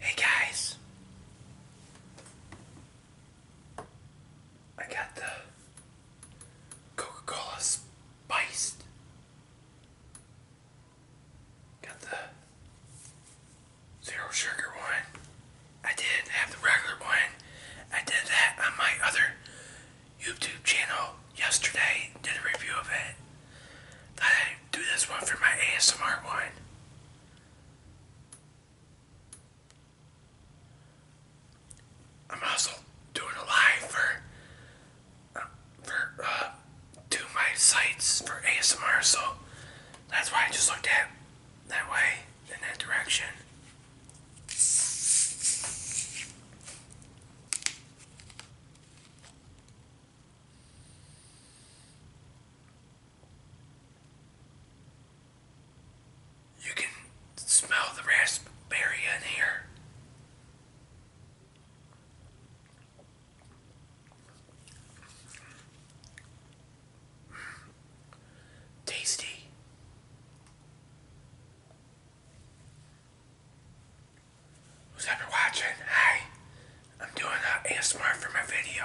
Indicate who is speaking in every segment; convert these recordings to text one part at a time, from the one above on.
Speaker 1: Hey guys, I got the Coca Cola spiced. Got the zero sugar one. I did have the regular one. I did that on my other YouTube channel yesterday, did a review of it i do this one for my ASMR one. I'm also doing a live for uh, for uh, to my sites for ASMR, so that's why I just looked at that way in that direction. You can smell the raspberry in here. Tasty who's ever watching, hi. I'm doing uh, ASMR for my video.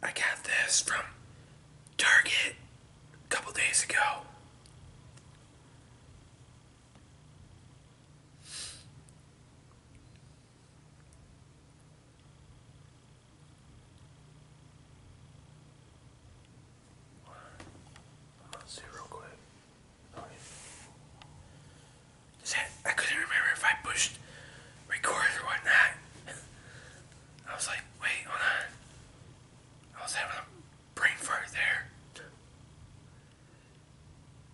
Speaker 1: I got this from Target a couple days ago. Let's see real quick. I couldn't remember if I pushed record or whatnot. I was like, wait, hold on. I was having a brain fart there.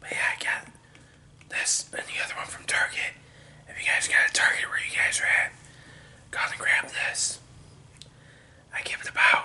Speaker 1: But yeah, I got this and the other one from Target. If you guys got a Target where you guys are at, go and grab this. I give it a bow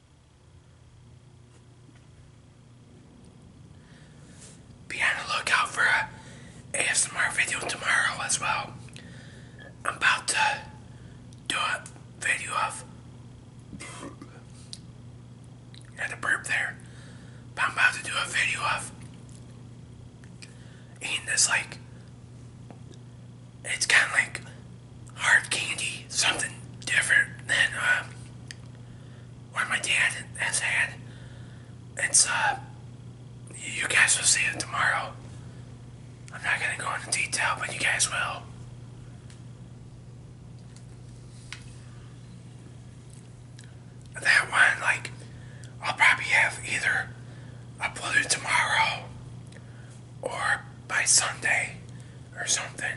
Speaker 1: Be on the lookout for a ASMR video tomorrow as well. I'm about to do a video of had a burp there. I'm about to do a video of eating this like it's kinda like hard candy, something different than uh, what my dad has had. It's, uh, you guys will see it tomorrow. I'm not gonna go into detail, but you guys will. That one, like, I'll probably have either uploaded tomorrow or by Sunday or something.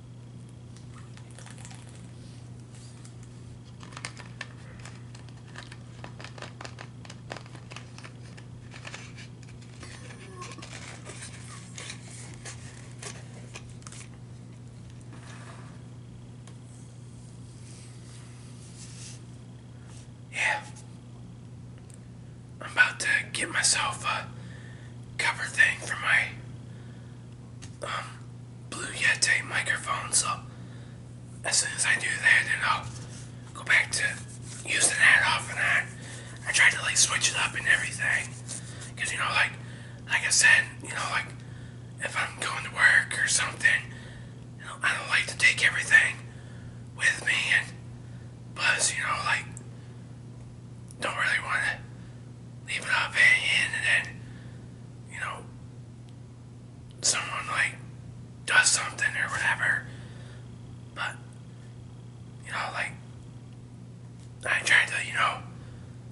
Speaker 1: Yeah. I'm about to get myself a cover thing for my um, Blue Yeti microphone. So as soon as I do that, then I'll go back to using that off and I tried to like switch it up and everything, cause you know like like I said, you know like if I'm going to work or something, I don't like to take everything with me and you know like don't really want to leave without paying in, and then, you know, someone like does something or whatever. But, you know, like, I tried to, you know,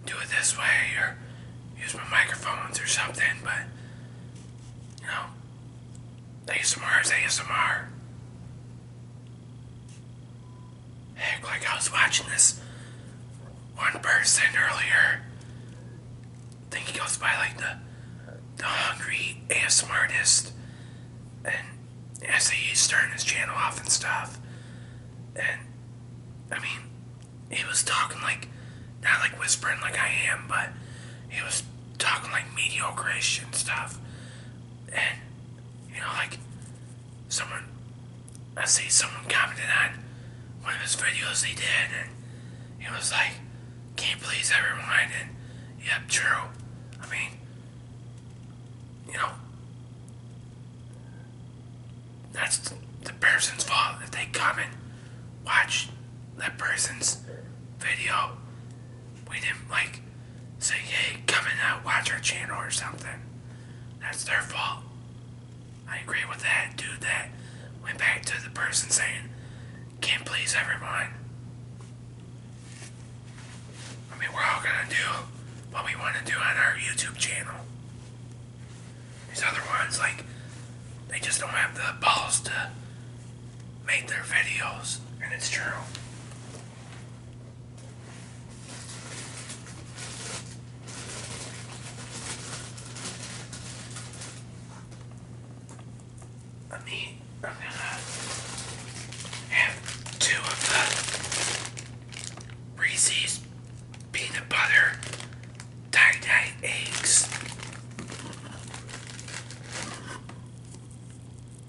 Speaker 1: do it this way or use my microphones or something, but, you know, ASMR is ASMR. Heck, like I was watching this one person earlier. I think he goes by like the the hungry ASMR artist, and I say he's starting his channel off and stuff. And I mean, he was talking like not like whispering like I am, but he was talking like mediocre shit and stuff. And you know, like someone, I see someone commented on one of his videos he did, and it was like, can't please everyone, and yep, true. I mean, you know, that's the person's fault if they come and watch that person's video we didn't like say, hey, come and uh, watch our channel or something. That's their fault. I agree with that dude that went back to the person saying, can't please everyone. I mean, we're all gonna do what we want to do on our YouTube channel. These other ones, like, they just don't have the balls to make their videos, and it's true. Let me, I'm gonna have two of the Reese's peanut butter tie-dye eggs.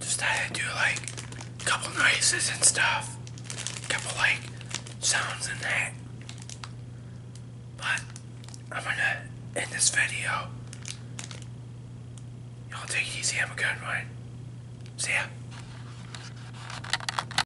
Speaker 1: Just thought i do like a couple noises and stuff, a couple like sounds and that. But I'm gonna end this video. Y'all take it easy, have a good one. See ya.